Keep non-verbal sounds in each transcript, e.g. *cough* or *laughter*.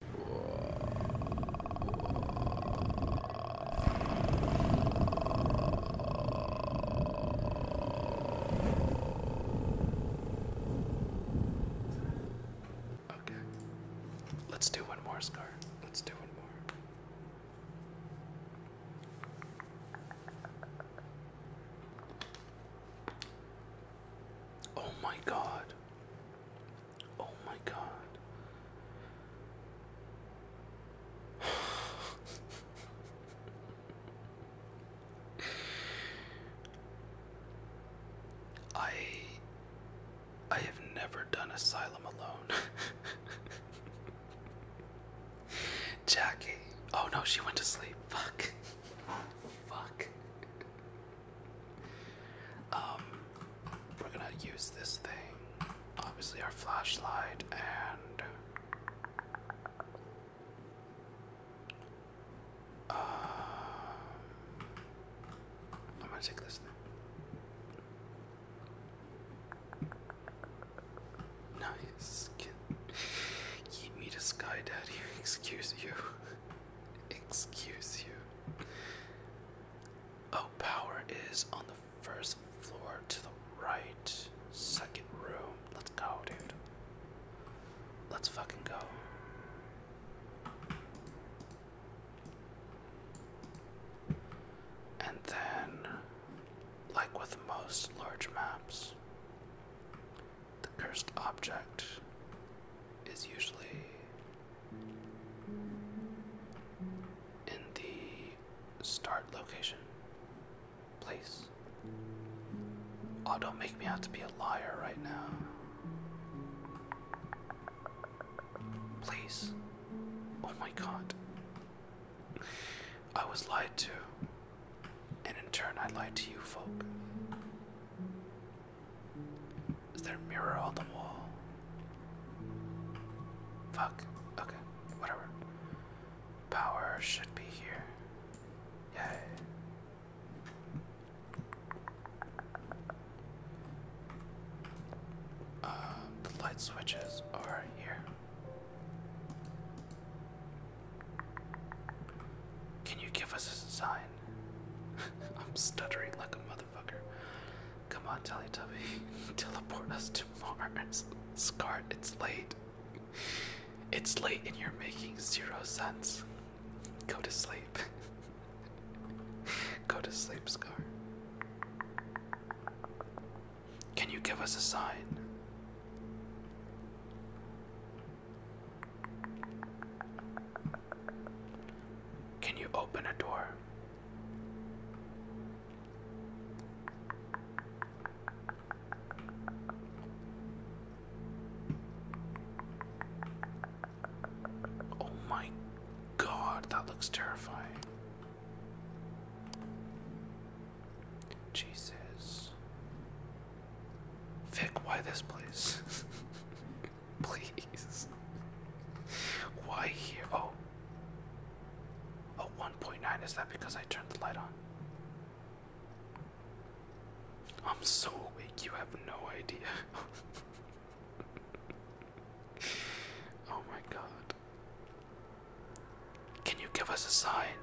Okay. Let's do one more, Scar. Let's do one more. Oh my god. Oh my god. *laughs* I I have never done asylum alone. *laughs* Jackie. Oh no, she went to sleep. Fuck. *laughs* Fuck. Um, we're gonna use this thing, obviously, our flashlight, and uh, I'm gonna take this Nice. Keep me to sky, daddy. *laughs* Excuse you. Excuse you. Oh, power is on the first floor to the right. Second room. Let's go, dude. Let's fucking go. And then, like with most large maps, the cursed object is usually in the start location, please. Oh, don't make me out to be a liar right now. Please. Oh my god. I was lied to, and in turn, I lied to you folk. Is there a mirror on the wall? Fuck. Okay, whatever. Power should be here. Yay. Um, the light switches are here. Can you give us a sign? *laughs* I'm stuttering like a motherfucker. Come on, Teletubby, *laughs* teleport us to Mars. Scar. it's late. It's late and you're making zero sense. Go to sleep. *laughs* Go to sleep, Scar. Can you give us a sign? Can you open a door? Oh my god, that looks terrifying. Jesus. Vic, why this place? *laughs* *laughs* Please. Why here? Oh. Oh, 1.9. Is that because I turned the light on? I'm so awake, you have no idea. *laughs* oh my god. Can you give us a sign?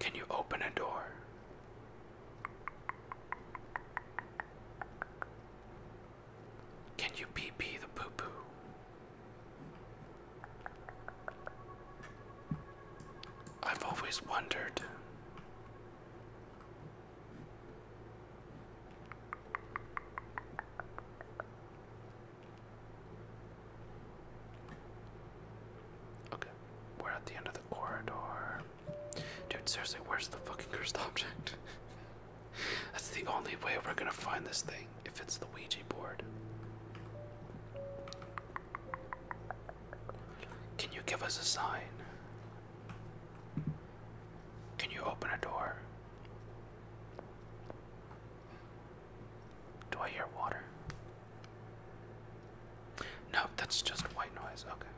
Can you open a door? Can you pee pee the poo poo? I've always wondered. Okay. We're at the end of the corridor. Dude, seriously, where's the fucking cursed object? *laughs* That's the only way we're gonna find this thing, if it's the Ouija board. Can you give us a sign? Can you open a door? Do I hear water? No, that's just white noise. Okay.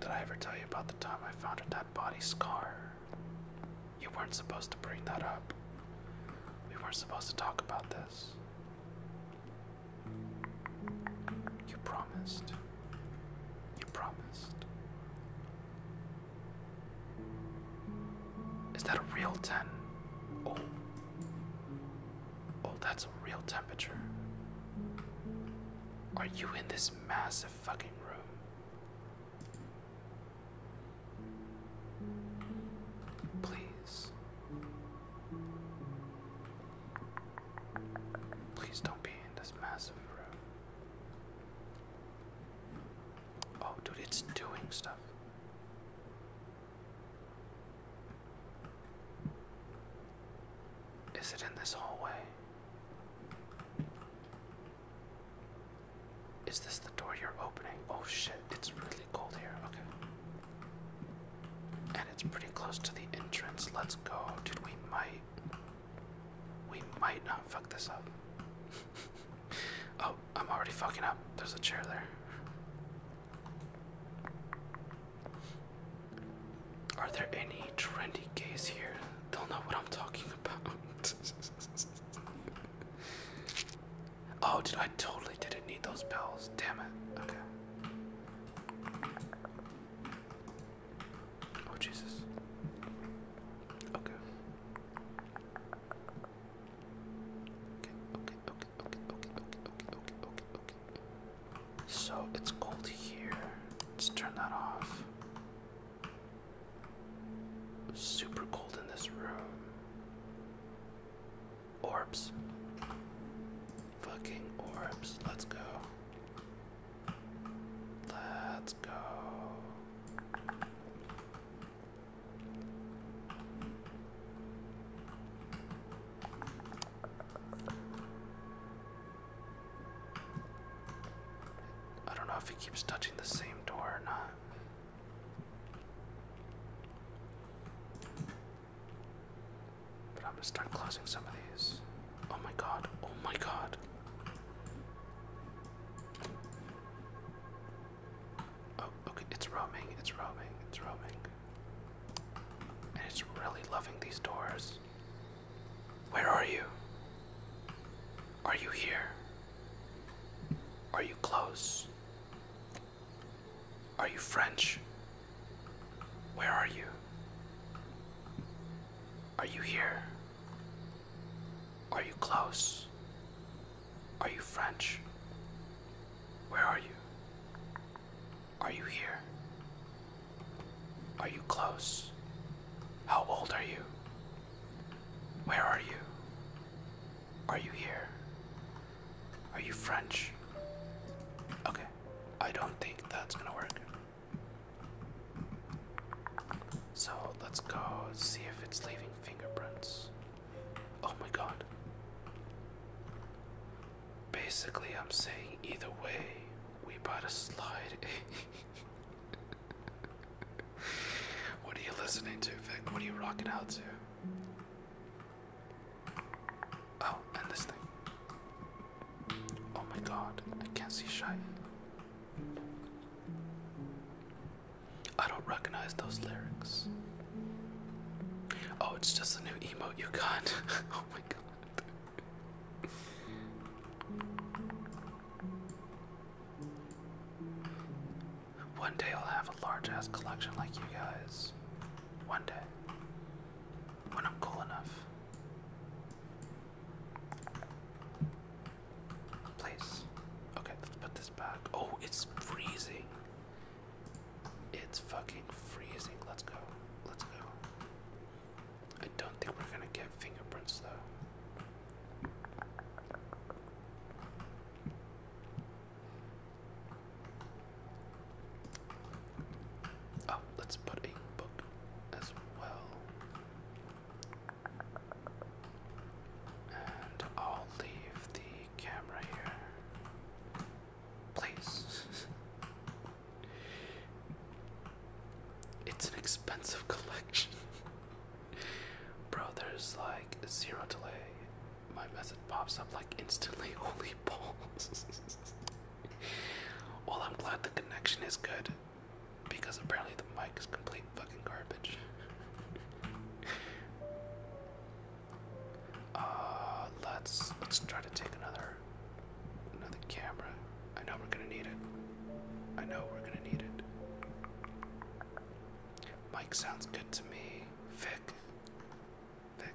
Did I ever tell you about the time I found a dead body scar? You weren't supposed to bring that up. We weren't supposed to talk about this. You promised. You promised. Is that a real 10? Oh. Oh, that's a real temperature. Are you in this massive fucking room? Please. Please don't be in this massive room. Oh, dude, it's doing stuff. Is it in this hallway? Is this the door you're opening? Oh shit, it's really cold here. Okay. And it's pretty close to the entrance. Let's go. Dude, we might. We might not fuck this up. *laughs* oh, I'm already fucking up. There's a chair there. Are there any trendy gays here? They'll know what I'm talking about. *laughs* oh, dude, I totally didn't need those bells. Damn it. Okay. Oh, Jesus. Okay. Okay, okay, okay, okay, okay, okay, okay, okay, okay. So it's cold here. Let's turn that off. Super cold in this room. Orbs. Fucking orbs. Let's go. Let's go. I don't know if he keeps touching the same door or not. But I'm gonna start closing some of these. Oh my god, oh my god. Oh, okay, it's roaming, it's roaming, it's roaming. And it's really loving these doors. Where are you? Are you here? Are you close? Are you French? Where are you? Are you here? Are you close? Are you French? Where are you? Are you here? Are you close? How old are you? Where are you? Are you here? Are you French? Okay, I don't think that's gonna work. So let's go see if it's leaving fingerprints. Oh my god. Basically, I'm saying either way, we better slide. *laughs* what are you listening to, Vic? What are you rocking out to? Oh, and this thing. Oh my god, I can't see Shai. I don't recognize those lyrics. Oh, it's just a new emote you got. *laughs* oh my god. One day I'll have a large ass collection like you guys. One day. When I'm cool enough. Place. Okay, let's put this back. Oh, it's freezing. It's fucking freezing. Let's go. Let's go. I don't think we're gonna get fingerprints though. Oh, let's put a book as well. And I'll leave the camera here. Please. *laughs* It's an expensive collection. *laughs* Bro, there's like zero delay. My message pops up like instantly. *laughs* Holy balls. *laughs* well, I'm glad the connection is good because apparently the mic is complete fucking garbage. *laughs* uh, let's let's try to take another another camera. I know we're gonna need it. I know we're gonna need it. Mic sounds good to me. Vic. Vic.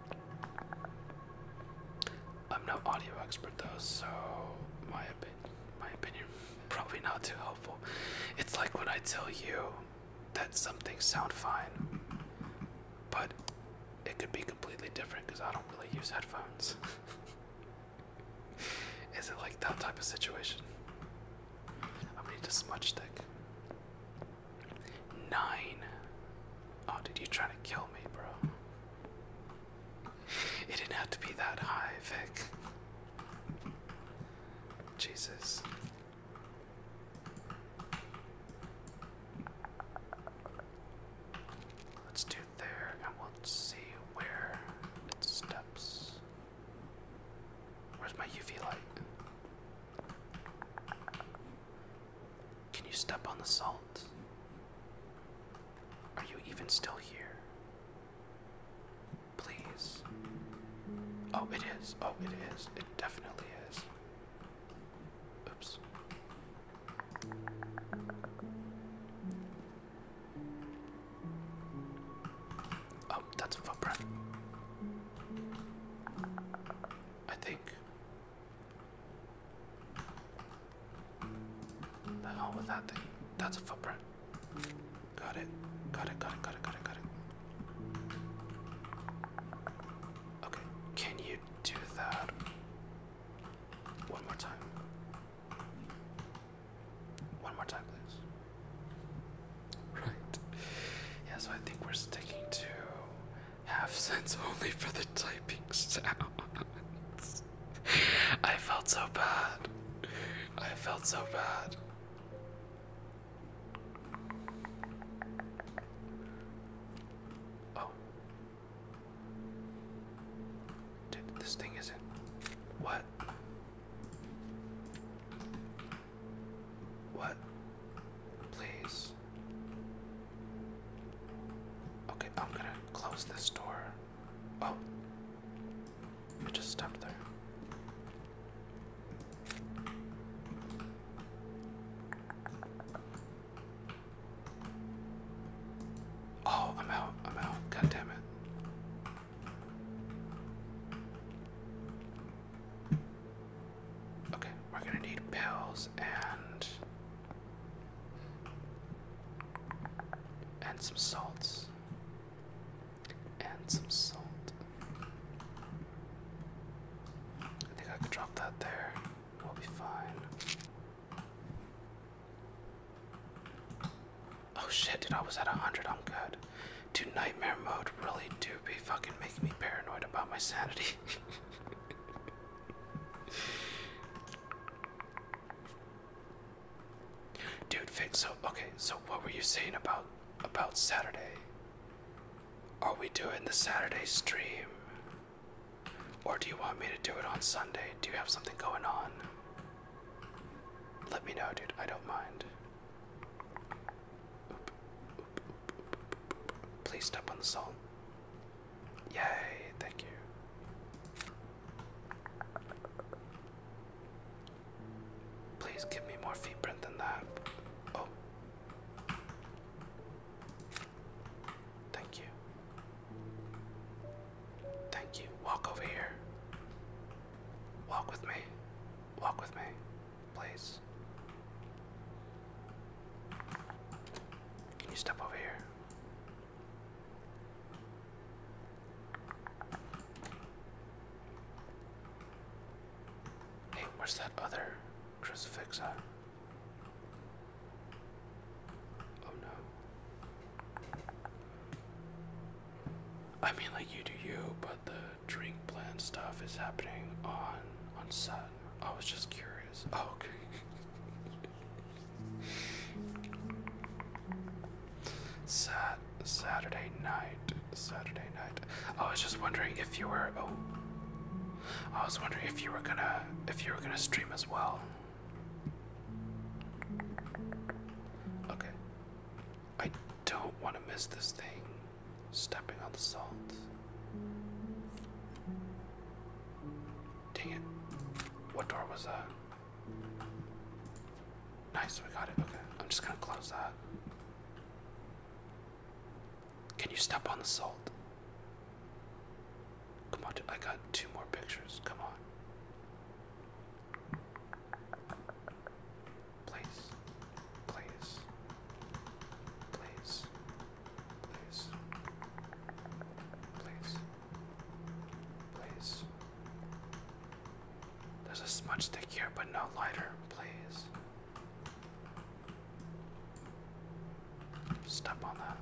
I'm no audio expert though, so my opinion, my opinion, *laughs* probably not too helpful. It's like when I tell you that something sound fine, but it could be completely different because I don't really use headphones. *laughs* Is it like that type of situation? I'm gonna need a smudge stick. Nine. Oh, did you try to kill me, bro? It didn't have to be that high, Vic. Jesus. Let's do there and we'll see where it steps. Where's my UV light? Can you step on the salt? Are you even still here? Please. Oh, it is. Oh, it is. It definitely is. Oops. Oh, that's a footprint. I think. The hell with that thing? That's a footprint. Got it, got it, got it, got it, got it. Okay, can you do that one more time? One more time, please. Right. Yeah, so I think we're sticking to Half cents only for the typing sounds. I felt so bad. I felt so bad. Oh. Dude, this thing isn't. What? What? Please. Okay, I'm gonna close this door. Oh. I just stepped there. Oh, I'm out. I'm out. God damn it. Okay, we're gonna need pills and and some salts and some salt. I think I could drop that there. We'll be fine. Oh shit, dude! I was at a hundred. I'm good. Dude, nightmare mode really do be fucking making me paranoid about my sanity. *laughs* Dude, fit so okay, so what were you saying about about Saturday? Are we doing the Saturday stream? Or do you want me to do it on Sunday? Do you have something going on? Let me know, dude. I don't mind. Please step on the salt. Yay, thank you. Please give me more footprint than that. Oh. Thank you. Thank you. Walk over here. Walk with me. Walk with me place. Can you step over here? Hey, where's that other crucifix at? Oh no. I mean, like, you do you, but the drink plan stuff is happening on on set. I was just curious. *laughs* Oh, okay. Sat Saturday night. Saturday night. I was just wondering if you were. Oh, I was wondering if you were gonna if you were gonna stream as well. Okay. I don't want to miss this thing. Stepping on the salt. Dang it. What door was that? Nice, we got it. Okay, I'm just gonna close that. Can you step on the salt? Come on, I got two more pictures. Come on place, place, place, place, place, place. There's a smudge stick here, but no lighter, please. Step on that.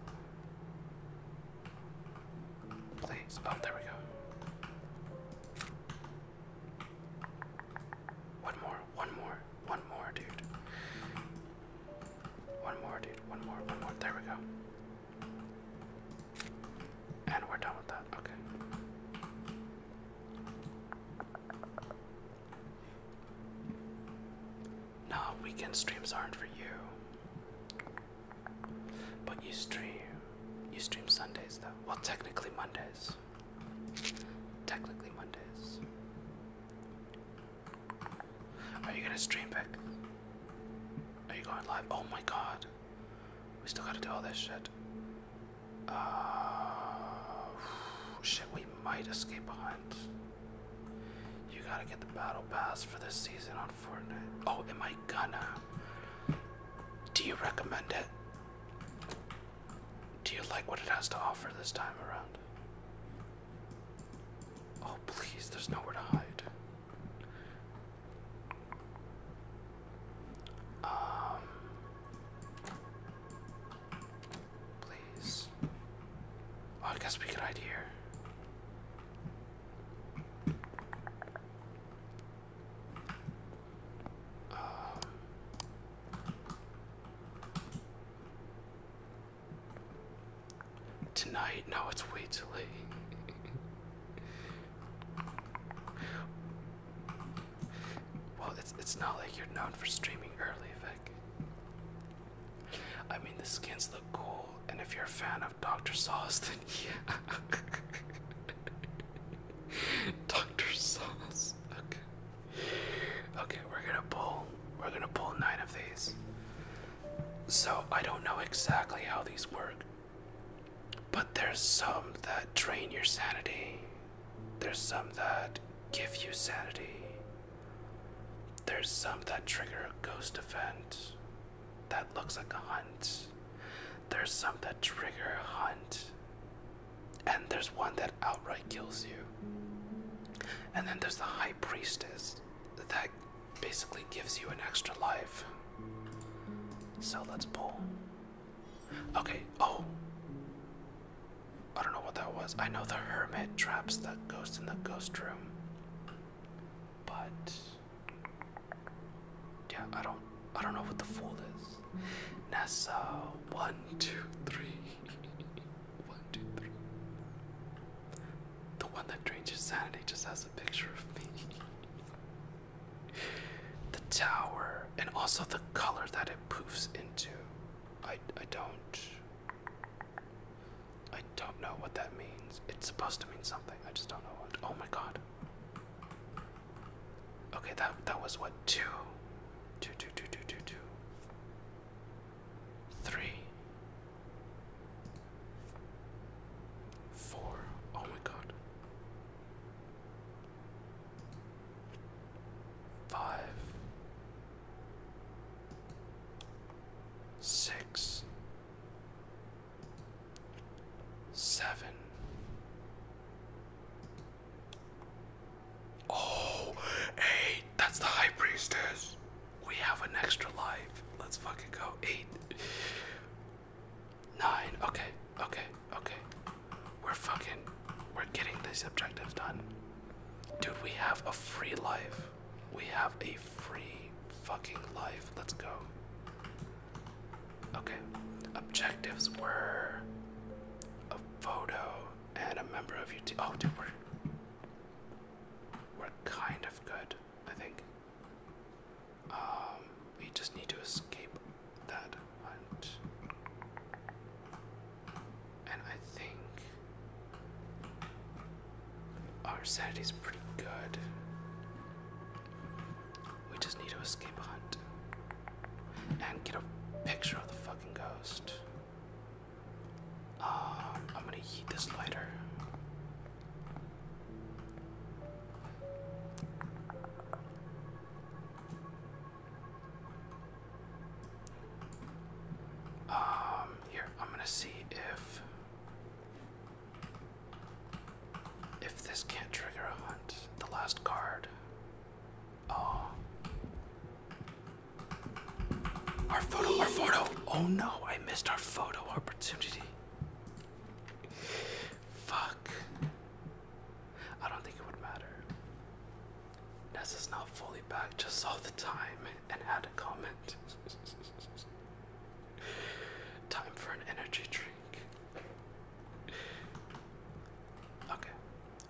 Please. Oh, there we go. One more one more, one more, dude. One more, dude. One more, one more. There we go. And we're done with that. Okay. No, weekend streams aren't for you. But you stream. You stream Sundays, though. Well, technically Mondays. Technically Mondays. Are you gonna stream back? Are you going live? Oh my god. We still gotta do all this shit. Uh, shit, we might escape behind. You gotta get the battle pass for this season on Fortnite. Oh, am I gonna? Do you recommend it? Do you like what it has to offer this time around? Oh, please, there's nowhere to hide. Um. Please. Oh, I guess we could hide here. Um. Tonight? No, it's way too late. well, it's it's not like you're known for streaming early, Vic. I mean, the skins look cool, and if you're a fan of Dr. Sauce, then *laughs* yeah. Dr. Sauce. Okay. Okay, we're gonna pull we're gonna pull nine of these. So I don't know exactly how these work. But there's some that drain your sanity. There's some that give you sanity. There's some that trigger a ghost event that looks like a hunt. There's some that trigger a hunt and there's one that outright kills you. And then there's the High Priestess that basically gives you an extra life. So let's pull. Okay, oh. I don't know what that was. I know the Hermit traps the ghost in the ghost room. But. Yeah, I don't. I don't know what the fool is. Nessa, one, two, three one, two, three. The one that drains your sanity just has a picture of me. the tower, and also the color that it poofs into. I I don't. I don't know what that means. It's supposed to mean something. I just don't know what. Oh my god. Okay, that that was what two two, two, two, two, two, two, three, four. Oh my god. Five, six, seven. Oh, that's the high priestess. We have an extra life. Let's fucking go. Eight, nine. Okay, okay, okay. We're fucking, we're getting these objectives done. Dude, we have a free life. We have a free fucking life. Let's go. Okay, objectives were a photo and a member of your team. Oh, dude, we're we're kind of good, I think. Um, we just need to escape that hunt, and I think our sanity's pretty good. We just need to escape a hunt and get a picture of the fucking ghost. Um, I'm gonna heat this lighter. Um, here, I'm gonna see if if this can't trigger a hunt. The last card. Oh. Our photo, our photo. Oh no, I missed our photo opportunity. Fuck. I don't think it would matter. Ness is not fully back, just saw the time and had a comment. *laughs* time for an energy drink. Okay,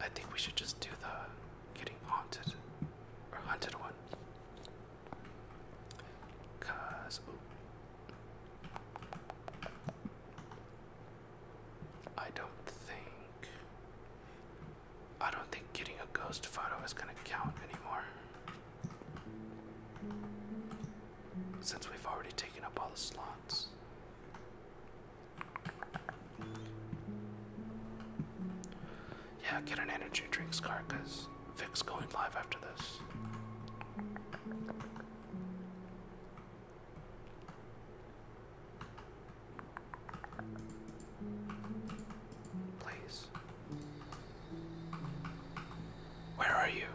I think we should just do the getting haunted or hunted one. Cause I don't think I don't think getting a ghost photo is gonna count anymore. Since we've already taken up all the slots. Yeah, get an energy drinks card because Vic's going live after this. Please. Where are you?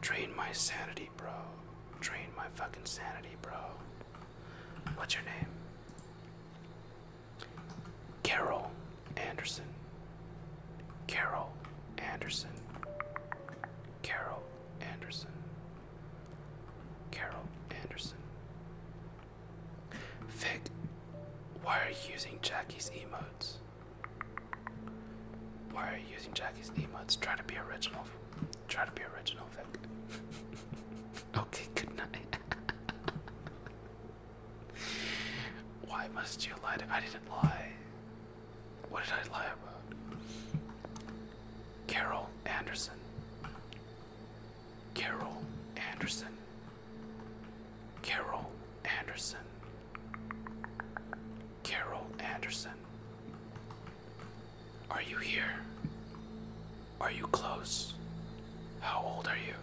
Drain my sanity bro. Drain my fucking sanity, bro. What's your name? Carol Anderson. Carol Anderson. Carol Anderson. Carol Anderson. Vic, why are you using Jackie's emotes? Why are you using Jackie's emotes? Try to be original. Try to be original, *laughs* okay, good night. *laughs* Why must you lie? I didn't lie. What did I lie about? Carol Anderson. Carol Anderson. Carol Anderson. Carol Anderson. Are you here? Are you close? How old are you?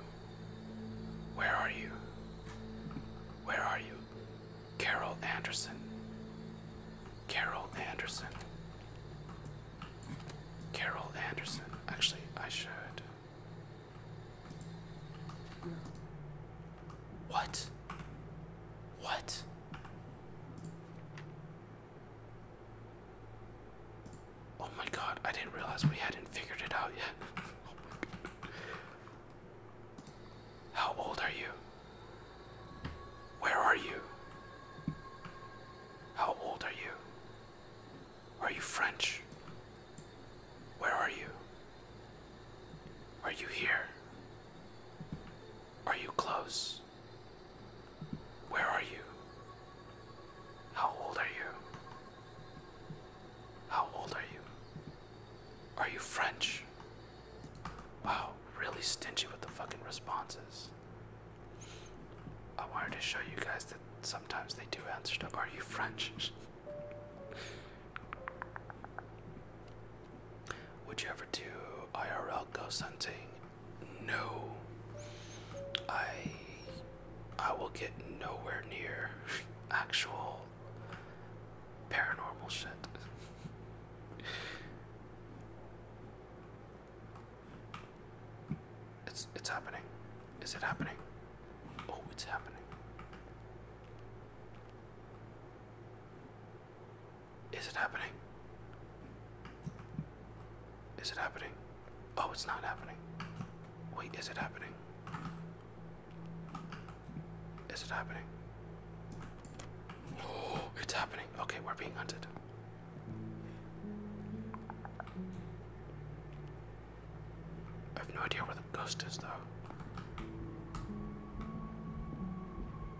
Where are you? Where are you? Carol Anderson. Carol Anderson. Carol Anderson. Actually, I should. What? What? Oh my god, I didn't realize we hadn't figured it out yet. How old are you? Where are you? How old are you? Are you French? Where are you? Are you here? Are you close? Where are you? How old are you? How old are you? Are you French? Wow, really stingy with the fucking responses. I wanted to show you guys that sometimes they do answer to Are you French? *laughs* Would you ever do IRL ghost hunting? No. I I will get nowhere near *laughs* actual paranormal shit. It's it's happening. Is it happening? Oh, it's happening. Is it happening? Is it happening? Oh, it's not happening. Wait, is it happening? Is it happening? Oh, *gasps* it's happening. Okay, we're being hunted. I have no idea where the ghost is, though.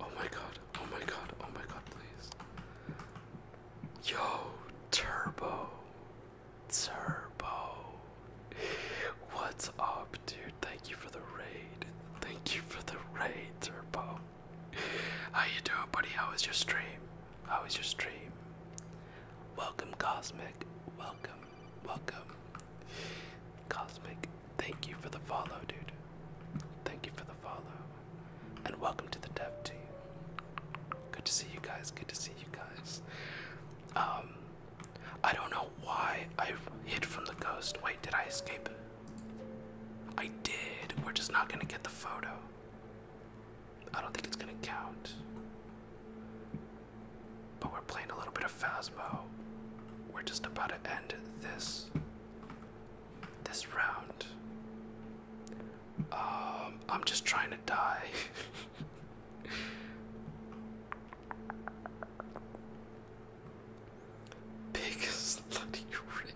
Oh my god, oh my god, oh my god, please. Yo, Turbo. Turbo. What's up, dude? Thank you for the raid. Thank you for the raid, Turbo. How you doing, buddy? How was your stream? How was your stream? Welcome, Cosmic. Welcome, welcome. Cosmic, Thank you for the follow, dude. Thank you for the follow. And welcome to the dev team. Good to see you guys. Good to see you guys. Um, I don't know why I hid from the ghost. Wait, did I escape? I did. We're just not gonna get the photo. I don't think it's gonna count. But we're playing a little bit of Phasmo we're just about to end this this round. Um, I'm just trying to die. *laughs* Big slutty raid.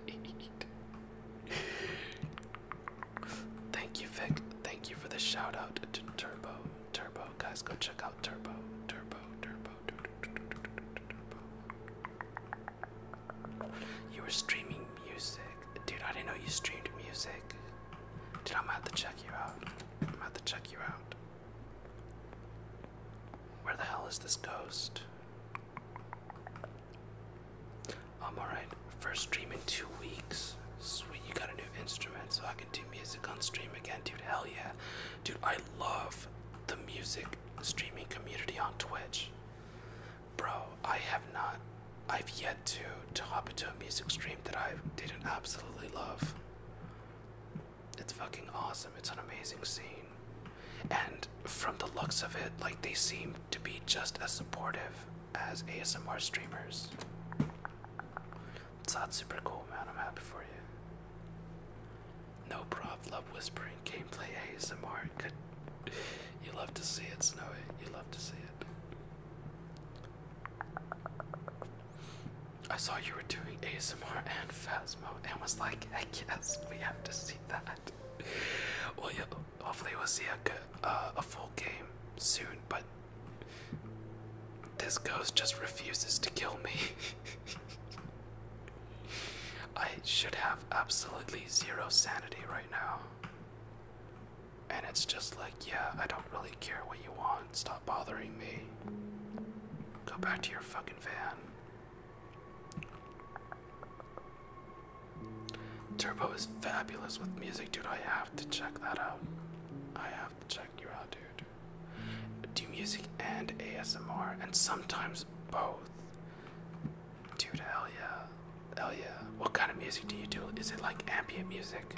Thank you, Vic. Thank you for the shout out to Turbo. Turbo, guys, go check out Turbo. Turbo, Turbo. You were streaming music. Dude, I didn't know you streamed music. Dude, I'm about to check you out. I'm out to check you out. Where the hell is this ghost? I'm alright. First stream in two weeks. Sweet, you got a new instrument so I can do music on stream again. Dude, hell yeah. Dude, I love the music streaming community on Twitch. Bro, I have not, I've yet to, to hop into a music stream that I didn't absolutely love. It's fucking awesome. It's an amazing scene. And from the looks of it, like they seem to be just as supportive as ASMR streamers. It's not super cool, man. I'm happy for you. No prof, love whispering, gameplay ASMR. Good. You love to see it, Snowy. You love to see it. I saw you were doing ASMR and fast mode, and was like, I guess we have to see that. well, yeah, hopefully we'll see a, good, uh, a full game soon, but this ghost just refuses to kill me. *laughs* I should have absolutely zero sanity right now. And it's just like, yeah, I don't really care what you want. Stop bothering me. Go back to your fucking van. Turbo is fabulous with music, dude. I have to check that out. I have have to check you out, dude. Do music and ASMR, and sometimes both. Dude, hell yeah. Hell yeah. What kind of music do you do? Is it like ambient music?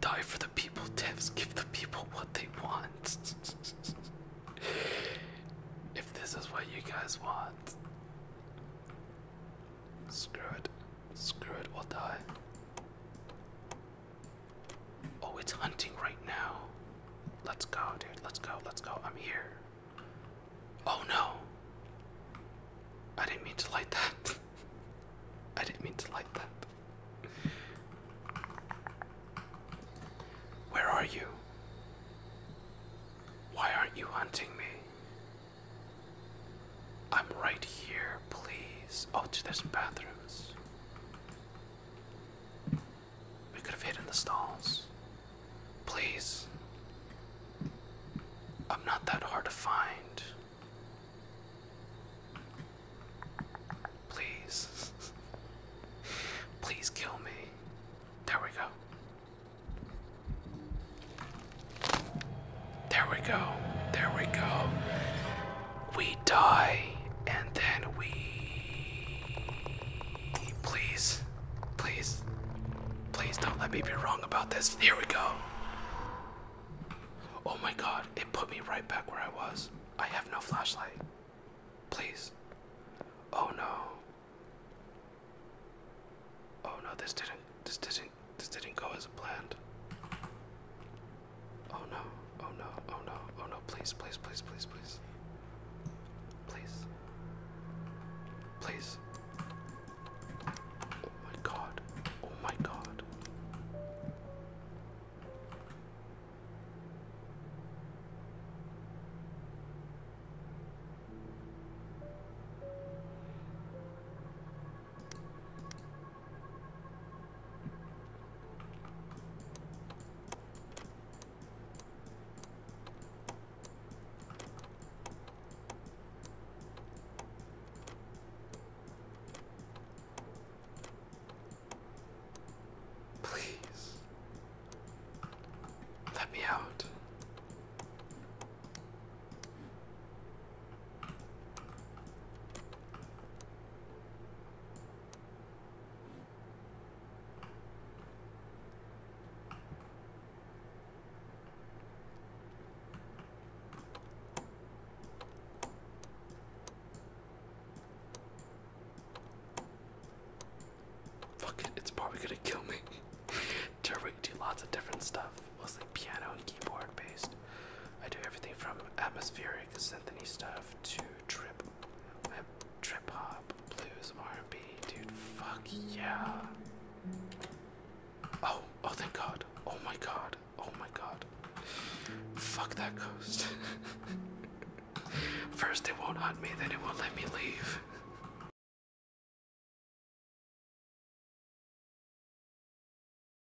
Die for the people, devs. Give the people what they want. *laughs* if this is what you guys want, screw it. Screw it, we'll die. Oh, it's hunting right now. Let's go, dude. Let's go. Let's go. I'm here. Oh no. I didn't mean to light that. *laughs* I didn't mean to light that. Where are you? Why aren't you hunting me? I'm right here, please. Oh, dude, there's bathrooms. We could have hidden the stalls. Please. I'm not that hard to find. Please. *laughs* Please kill me. There we go. There we go. There we go. We die and then we. Please. Please. Please don't let me be wrong about this. Here we go. Oh my god, it put me right back where I was. I have no flashlight. Please. Oh no. Oh no, this didn't this didn't this didn't go as planned. Oh no, oh no, oh no, oh no, please, please, please, please, please. Please. Please. Oh my god. Oh my god. Please let me out. Fuck it, it's probably gonna kill me. *laughs* Turbo, do lots of different stuff, mostly piano and keyboard based. I do everything from atmospheric symphony stuff to trip, trip hop, blues, R&B. Dude, fuck yeah. Oh, oh thank God. Oh my God. Oh my God. Fuck that ghost. *laughs* First it won't hunt me, then it won't let me leave.